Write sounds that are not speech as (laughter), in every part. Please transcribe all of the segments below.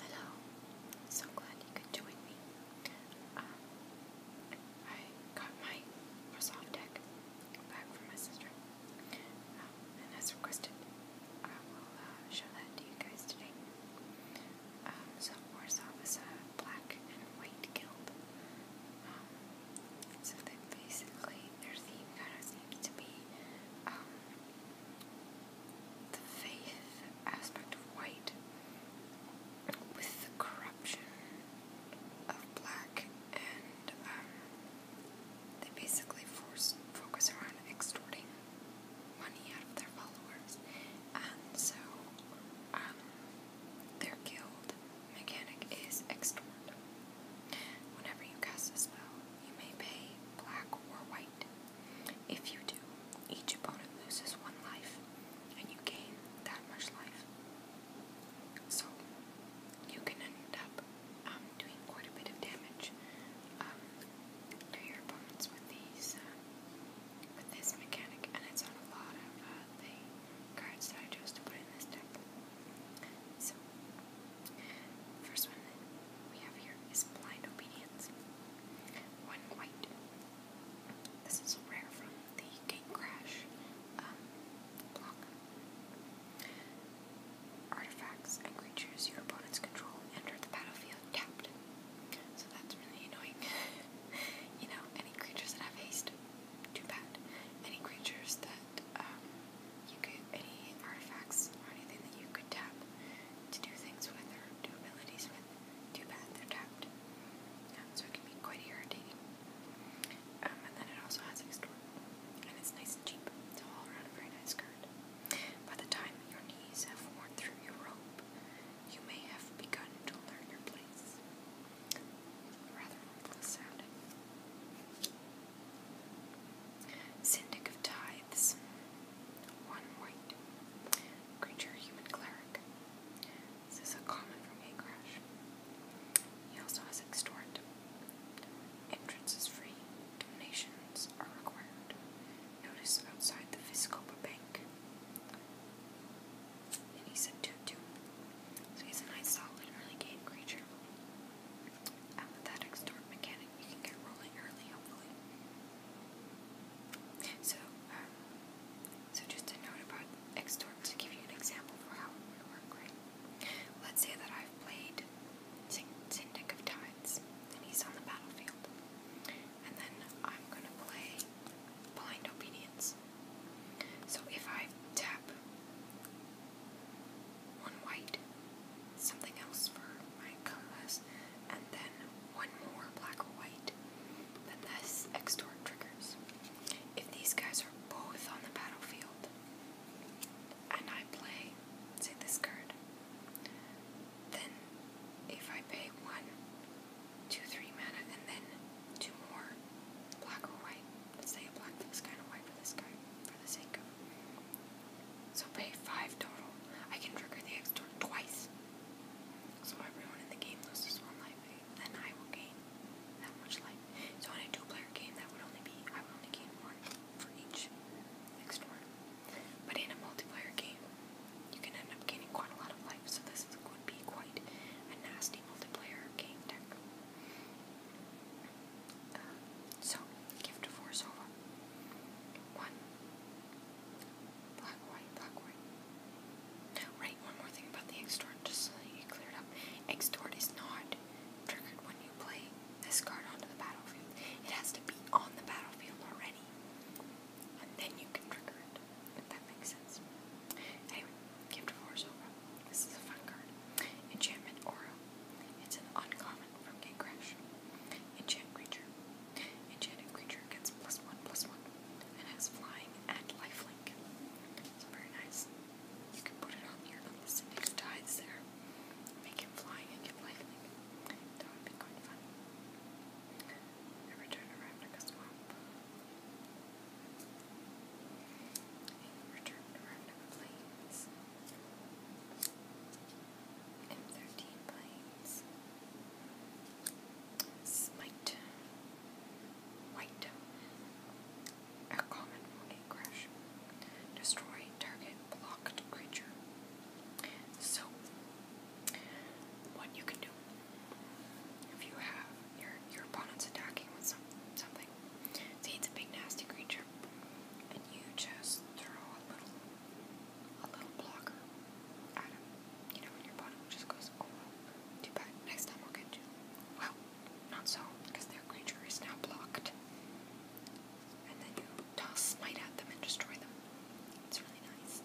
Hello, so glad you could join me. Um, I got my Microsoft deck back from my sister, um, and as requested, I will uh, show that to you guys today. Um, so Warsaw is a black and white guild. so basically their theme kind seems to be the faith aspect of white with the corruption of black, and um, they basically focus around extorting money out of their followers. so um, their guild mechanic is extort. Whenever you cast a spell, you may pay black or white if you do, each opponent loses one life, and you gain that much life. So, you can end up um, doing quite a bit of damage um, to your opponents with these, uh, with this mechanic, and it's on a lot of uh, the cards that I chose to put in this deck. So, the first one that we have here is blind obedience. One white. This is rare from the gate crash um, block. Artifacts and creatures your opponents control enter the battlefield tapped. So that's really annoying. (laughs) you know, any creatures that have haste, too bad. Any creatures that um, you could, any artifacts or anything that you could tap, to do things with or do abilities with. Too bad they're tapped. Um, so it can be quite irritating. Um, and then it also has extort. And it's nice and cheap. It's all around a very nice card. By the time your knees have worn through your rope, you may have begun to learn your place. Rather hopeless Syndic of Tithes. One white. Creature human cleric. This is a common from Gate He also has extort. Entrance is free. Donations are required. Notice outside the Viscopa Bank. And he's a 2-2. So he's a nice solid early game creature. I'm with that extort mechanic. You can get rolling early, hopefully. So, um, so just a note about extort to give you an example for how it would work, right? Let's say that I've played Syndic of Tides, and he's on the battlefield. And then I'm going to play Blind Obedience. So if I tap one white, something else for my comas, and then one more black or white, then this extort triggers. If these guys are both on the battlefield, and I play, say, this card, then if I pay one, two, three mana, and then two more, black or white, say a black this guy a white for this guy, so pay five total. I can trigger the X turn twice. So everyone in the game loses one life, then I will gain that much life. So in a two-player game, that would only be I would only gain one for each next turn. But in a multiplayer game, you can end up gaining quite a lot of life. So this is, would be quite a nasty multiplayer game deck. so, gift of Orzova. One Black, white, black, white. Right, one more thing about the extort, just so that you clear up. Extort is not triggered when you play this card onto the battlefield. It has to be on the battlefield already. And then you can trigger it, that makes sense. Anyway, is a fun card. Enchantment Aura. It's an uncommon from Gate Crash. Enchant creature. Enchanted creature gets plus one plus one and has flying and lifelink. It's very nice. You can put it on your little unlisted tides there. Make him flying and get lifelink. That would be quite fun. Every turn around like a swamp. Return to Random Plains. M13 planes. Smite. White. A common morning crash. Destroy target blocked creature. So, what you can do if you have your your opponent's attacking with some, something, say it's a big nasty creature, and you just throw a little a little blocker at You know, and your bottom just goes, oh, too bad. Next time I'll get you. Well, not so, because their creature is now blocked. And then you toss Smite at them and destroy them. It's really nice.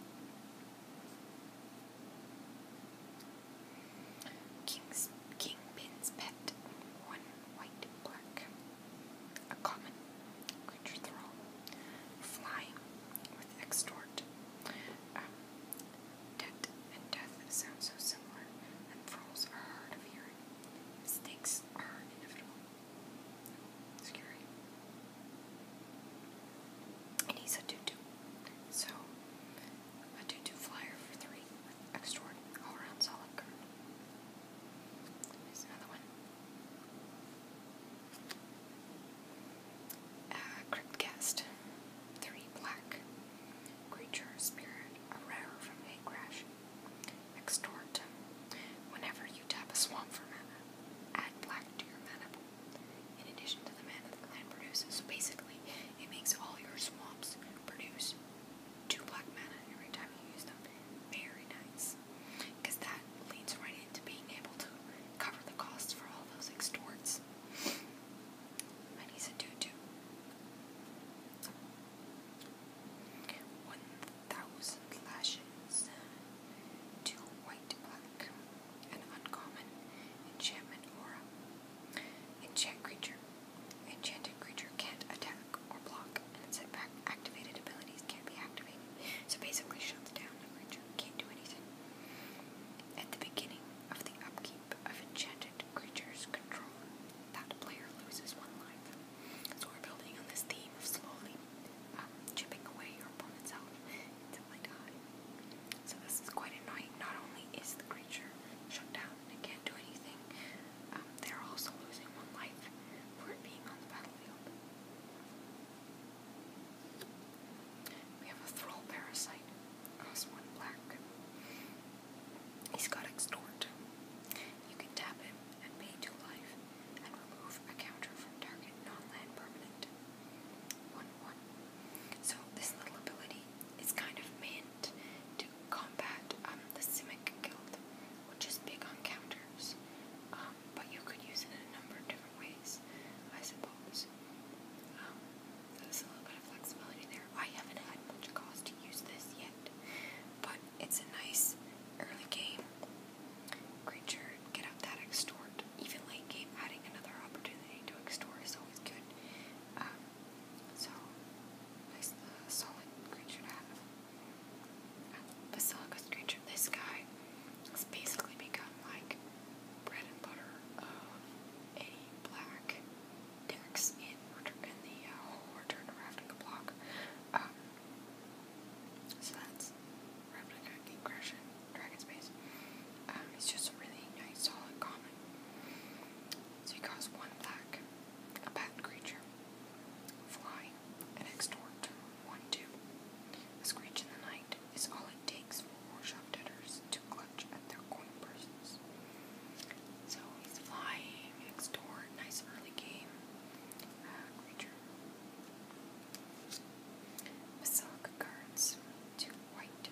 King's Kingpin's pet. One white black a common creature thrall, flying with extort. Um, debt and death sound so similar, and thralls are hard of hearing. Mistakes are inevitable. Scary. And he's a 2 2. So, a 2 2 flyer for 3 with extort all around solid curve. Here's another one. Uh, black. Creature, spirit, a rare from a crash. Extort. Whenever you tap a swamp for mana, add black to your mana pool. In addition to the mana the clan produces, so basically it makes all your swamps produce two black mana every time you use them. Very nice because that leads right into being able to cover the costs for all those extorts. And he's a tutu. One thousand lashes, two white black, an uncommon enchantment aura. Enchant creature. Enchanted creature can't attack or block, and activated abilities can't be activated. So basically shuts down the creature, can't do anything. At the beginning of the upkeep of enchanted creatures control that player loses one life. So we're building on this theme of slowly um, chipping away your opponent's health until they die. So this is quite annoying. Not only is the creature shut down and can't do anything, um, they're also losing one life for it being on the battlefield. We have a thrall parasite, Oswan Black. He's got extort. You can tap him and pay to life and remove a counter from target non-land permanent. 1-1. So this little ability is kind of meant to combat um, the Simic Guild, which is big on counters. Um, um, but you could use it in a number of different ways, I suppose. Um, there's a little bit of flexibility there. I haven't had much cause to use this yet, but it's a nice early game creature. Get up that extort. Even late game, adding another opportunity to extort is always good. Um, so, nice, uh, solid creature to have. Basilica's Creature, this guy has basically become like bread and butter of black dex in, the uh, whole Return to block. Um, so that's Ravnica, Ingression, Dragon Space. it's um, just a really nice, solid common. So he costs one black, a bat creature, fly, and extort one too. screech in the night is all it takes for war shop debtors to clutch at their coin purses. So he's flying, extort, nice early game. Uh, creature. Basilica cards, two white.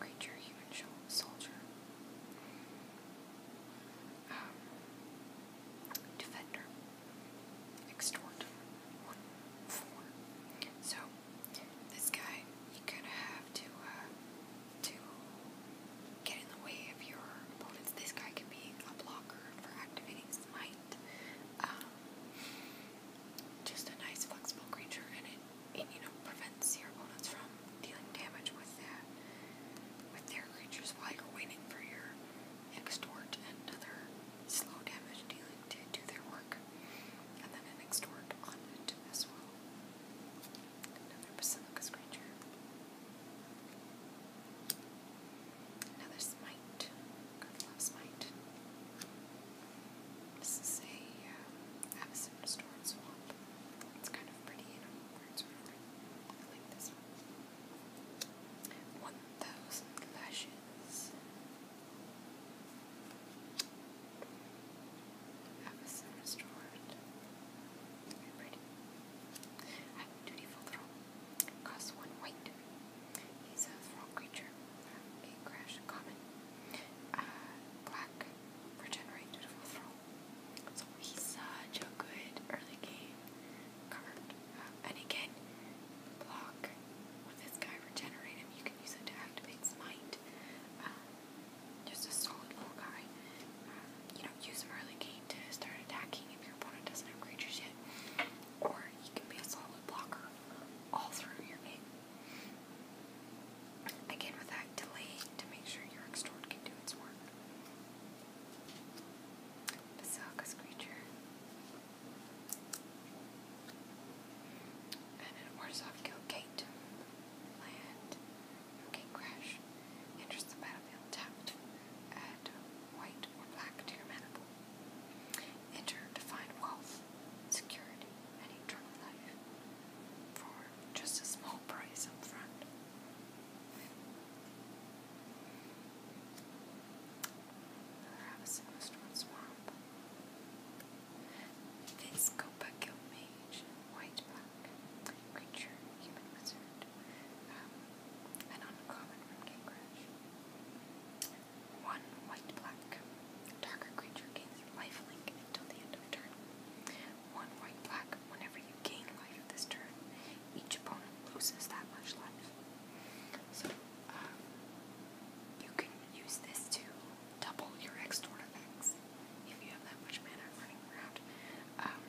Creature, human soldier. Um, defender, extort, four. So this guy, you're gonna have to uh, to get in the way of your opponents. This guy can be a blocker for activating smite. Um, just a nice flexible creature, and it, it you know prevents your opponents from dealing damage with that with their creatures while you're waiting for your extort and another slow damage dealing to do their work, and then an extort on it as well. Another Basilica's creature. Another Smite. God Smite. This is a um, uh, Abyssin Swamp. It's kind of pretty and a weird like this one. One thousand lashes. Have restored. Ready. I'm dutiful thrall. Costs one white. He's a thrall creature. A crash common. Uh, black. Regenerate dutiful thrall. he's such a good early game card. And again, block with this guy, regenerate You can use it to activate Smite. Um, uh, just a solid little guy. Uh, you know, use early game to start attacking if your opponent doesn't have yet. Or he can be a solid blocker all through your game. Again, with delay to make sure your extort can do its work. Basaka's creature. And an Orzhov killed Kate. Land. Okay, crash. Enters the battlefield tapped. Add white or black to Enter to find wealth, security, and eternal life for just a small price up front. Harassing Westwood Swamp. This Copakill Mage, White Black, Creature, Human Wizard, um, an uncommon from Game One White Black, Darker Creature gains Life until the end of turn. One White Black, whenever you gain life this turn, each opponent loses that much life. So um, you can use this to double your extra effects if you have that much mana running around. Um,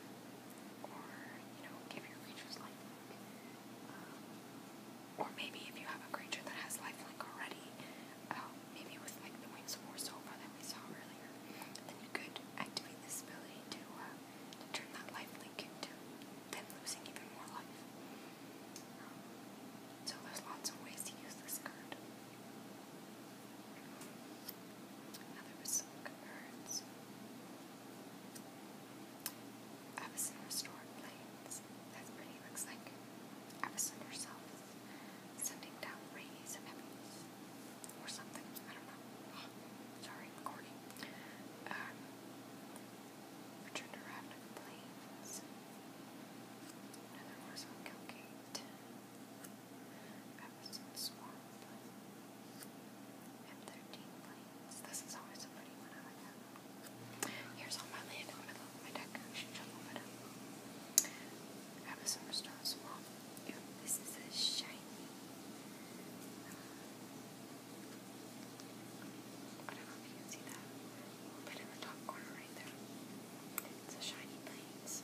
or, you know, give your creatures lifelink. Um, or maybe if you have a creature that has lifelink already, um, maybe with like the Wings of War Silver that we saw earlier, then you could activate this ability to uh, turn that life link into them losing even more life. so there's lots of ways to use this card. there was some good cards. Avison Restored Plains. That's pretty, looks like Avison herself is sending down rays of heavens or something. I don't know. (sighs) Sorry, i Um, Return to Ravnica Plains. Another horse on Gilgate. Everson Swamp. M13 Plains. This is always a pretty one. I like that Here's all my land. I'm my deck. Um, I should shuffle it up. this is a shiny. Uh, I don't know if you can see that. A in the top corner right there. It's a shiny planes.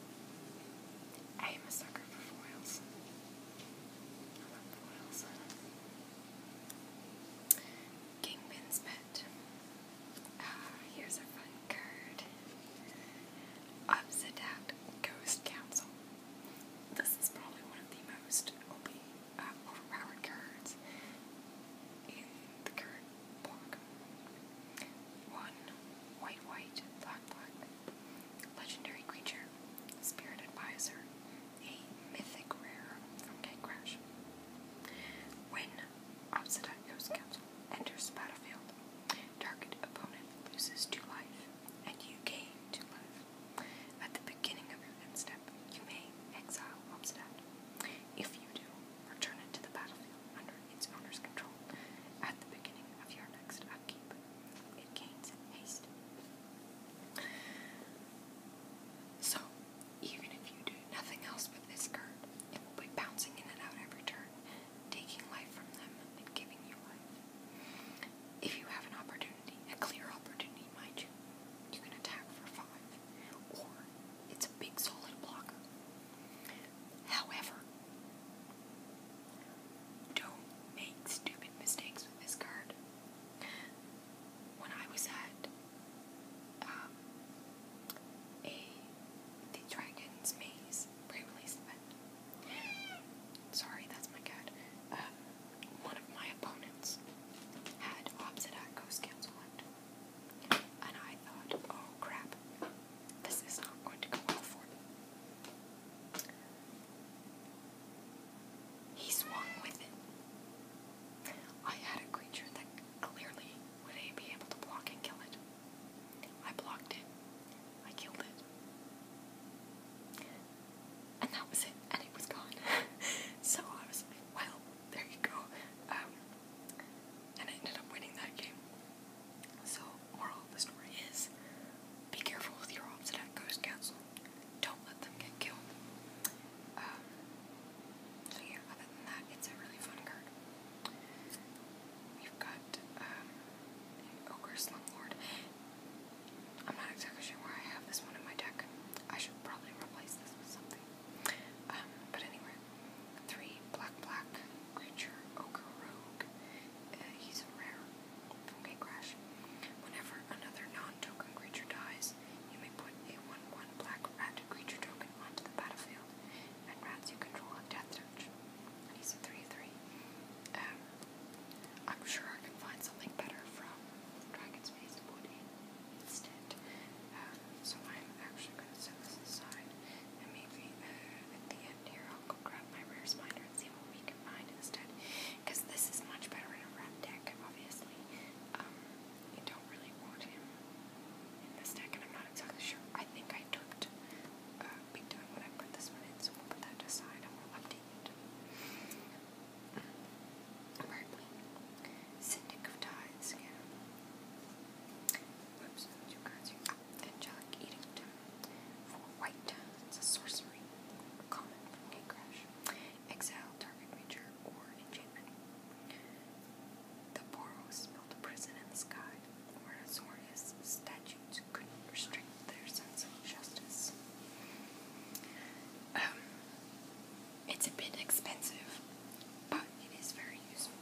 I am a sucker for foils. I love foils. Kingpin's pet. Ah, here's a fun card. Obsidat Ghost Council. This is probably one of the most uh, overpowered cards in the card block. One white, white, black, black. Legendary creature, spirit advisor, a mythic rare from Gatecrash. When Obsidian Ghost Council enters battlefield, target opponent loses two life, and you gain two life. At the beginning of your step, you may exile Obstat. If you do, return it to the battlefield under its owner's control at the beginning of your next upkeep. It gains haste. So, even if you do nothing else with this card, it will be bouncing in and out every turn, taking life from them and giving you life. If you have an opportunity, a clear opportunity, mind you, you can attack for five, or it's a big solid blocker. However, don't make stupid mistakes with this card. When I was at um, a the Dragon's Maze pre event, sorry, that's my cat. Uh, one of my opponents had opposite at and I thought, oh crap, this is not going to go well for me. He swung with it. I had a creature that clearly would I be able to block and kill it. I blocked it. I killed it and that was it, and it was gone. (laughs) so I was well, there you go. Um, and I ended up winning that game. So, moral of the story is be careful with your opposite Ghost Council. Don't let them get killed. Um, so, yeah, other than that, it's a really fun card. We've got um, Ogre Slumlord. I'm not exactly sure where I have this one in my deck. I should probably replace this with something. Um, but anyway, three black black creature ogre uh, he's a rare from Gate Whenever another non-token creature dies, you may put a one-one black rat creature token onto the battlefield, and rats you control have death And he's a three-three. I'm sure I can find something better from Dragon's Face Woody instead. Um, so I'm actually going to set this aside, and maybe uh, at the end here I'll go grab my rare spider and see what we can find instead. Because this is much better in a red deck, obviously. Um, don't really want him in this deck, and I'm not exactly sure. I think I took uh, big time when I put this one in, so we'll put that aside and we'll update Berkeley. of Tithes again. Whoops, two cards here. Ah, Angelic For white, it's a sorcery. common from Gate Crash. Exile target creature or enchantment. The Boros built a prison in the sky where Azorius statutes couldn't restrain strength, their sense of justice. Um, it's a bit expensive, but it is very useful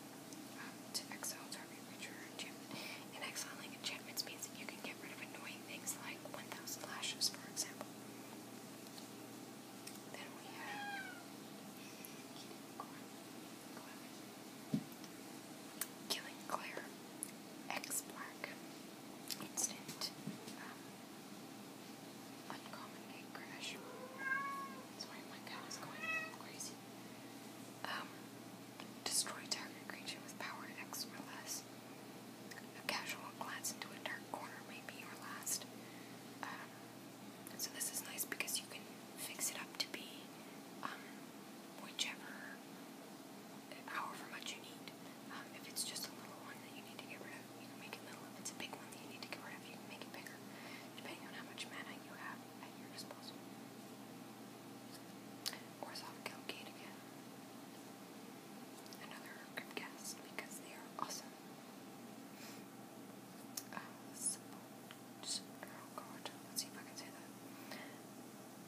um, to exile target creature enchantment. exiling enchantments means that you can get rid of annoying things like 1000 lashes, for example. Then we have. Killing Claire. X Black. Instant. Um, Uncommon egg crash. Sorry, my cat is going crazy. Um, destroy target creature with power X or less. A casual glance into a dark corner may be your last. Um, so this is nice because you can fix it up to be um, whichever however much you need. Um, if it's just a little one that you need to get rid of, you can make it little. If it's a big one that you need to get rid of, you can make it bigger, depending on how much mana you have at your disposal. Or soft kill gate again. Another grip cast because they are awesome. Uh, Sepulchral. Oh God, let's see if I can say that.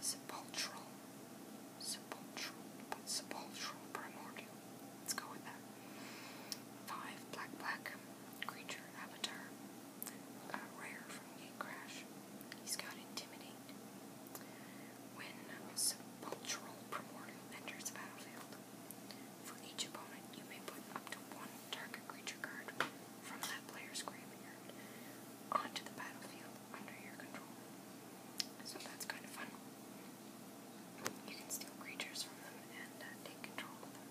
Sepulchral sepulchral, but sepulchral primordial. Let's go with that. Five black black creature avatar, rare from Gate Crash. He's got intimidate. When sepulchral primordial enters the battlefield, for each opponent you may put up to one target creature card from that player's graveyard onto the battlefield under your control. So that's kind of fun. You can steal creatures from them and uh, take control of them.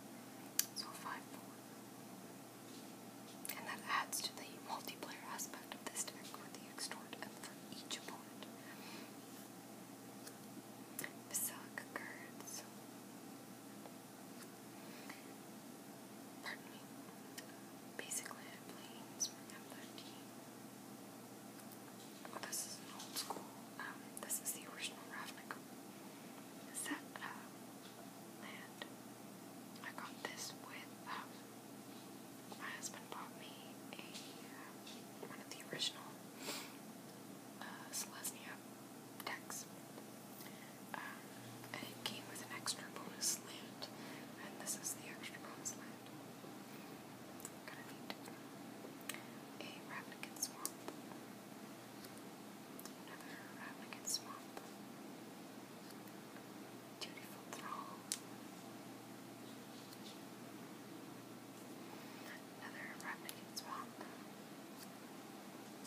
So 5 4. And that adds to the multiplayer aspect of this deck with the extort for each opponent. Basilica cards. Pardon me. Basically, I play Smartphone 13. This is old school. Um, this is the original Ravnica set uh, land. I got this with um, my husband bought me a um, one of the original Celestia uh, decks. and it came with an extra bonus land, and this is the extra bonus land. Kind of Swamp. Another Ravnican Swamp. Dutiful Thrall. Another Ravnican Swamp.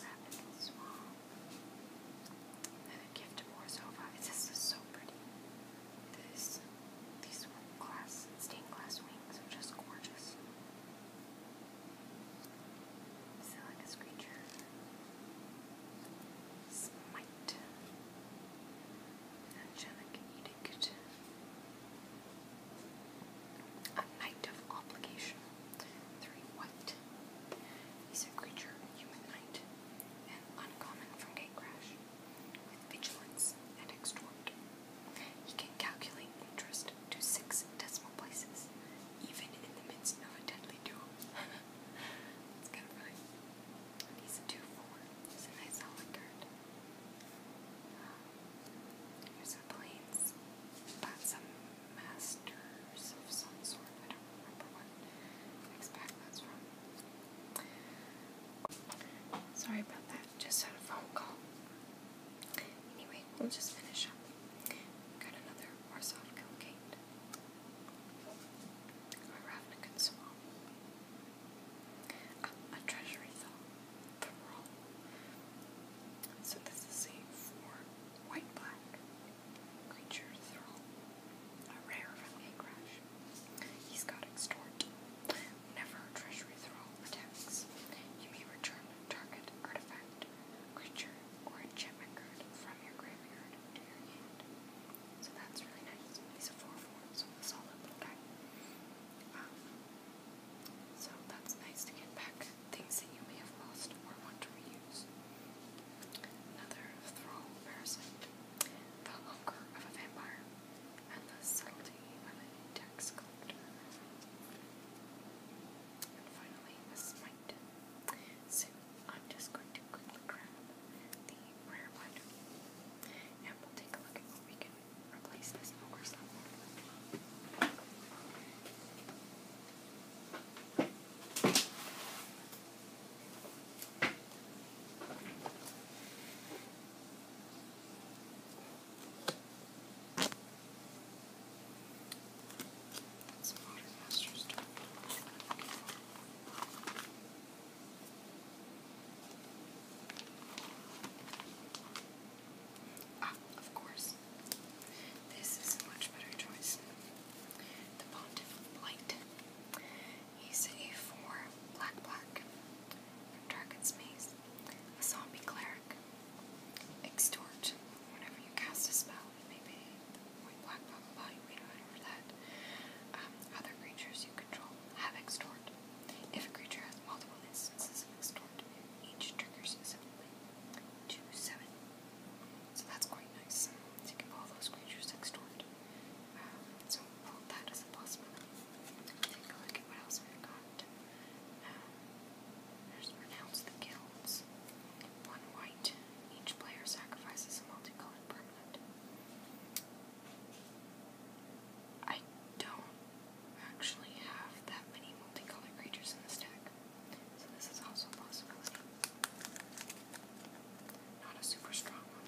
Ravnican Swamp. And gift of Orzova. This is so pretty these stained glass wings are just gorgeous. Silicus creature. Smite. Angelic edict. A knight of obligation. Three white. He's a creature, human knight, and uncommon from Gatecrash with vigilance and extort. He can calculate interest to six decimal places, even in the midst of a deadly duel. That's (laughs) kind of funny. He's a 2-4. He's a nice solid card. Um, a planes. Got some masters of some sort. I don't remember what. Sorry about that. Just had a phone call. Anyway, we'll just finish up. Got another Warsaw Gilgate. Or Ravnikan Swamp. Uh, a treasury though. So this is a four white black creature thrall. A rare from Crash. He's got extort. Never a treasury thrall attacks, you may return target artifact, creature, or a enchantment card from your graveyard to your hand. So that's really nice. He's a 4-4, so a solid little guy. Um, so that's nice to get back things that you may have lost or want to reuse. Another Thrall Parasite. The Hunger of a Vampire and the subtlety of a tax collector. And finally, the smite. So, I'm just going to quickly grab the rare one, and we'll take a look at what we can replace this ogre's level with. It's ah, a of course. This is a much better choice. The Pontiff Light. He's a 4 black black from Dragon's Maze, a zombie cleric. Extort. Whenever you cast a spell, it may be white black black body weight or that. Um, other creatures you control have extort. If a creature has multiple instances of extort, each triggers separately. Two seven. So that's quite nice. you can all those creatures extort. Um, so i a possibility take a look the guilds. One white. Each player sacrifices a multicolored permanent. I don't actually have that many multicolored creatures in this deck, so this is also a possibility. Not a super strong one,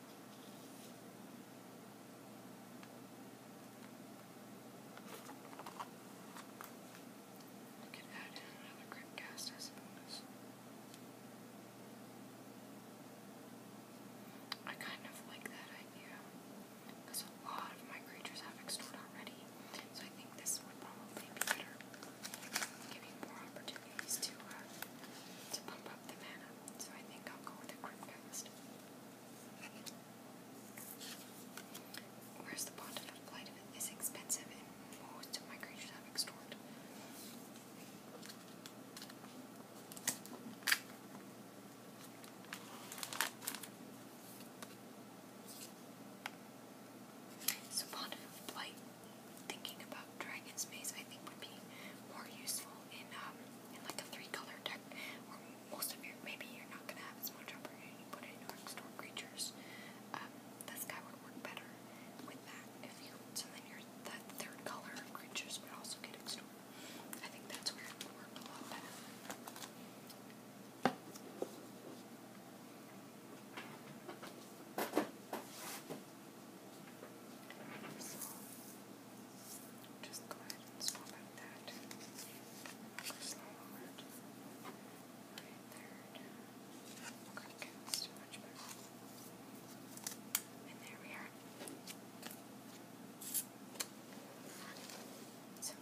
I could kind of like that idea because a lot of my creatures have explored already, so I think this would probably be better, giving more opportunities to uh, to pump the mana, so I think I'll go with a Crypt Cast. Whereas the Bonded of Blight is expensive most of my creatures have extort. So Bond of Blight, thinking about Dragon's Maze, I think would be more useful in um, in like a three-color deck where most of your maybe you're not gonna have as much opportunity to put in store creatures. Um, guy would work better with that if you so then your third color creatures would also get extored. I think that's where it would work a lot better. So, just go ahead and swap out that slide right there. Okay, that's much better. And there we are. So,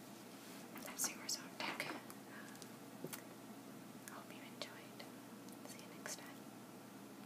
that's yours on deck. hope you enjoyed. See you next time.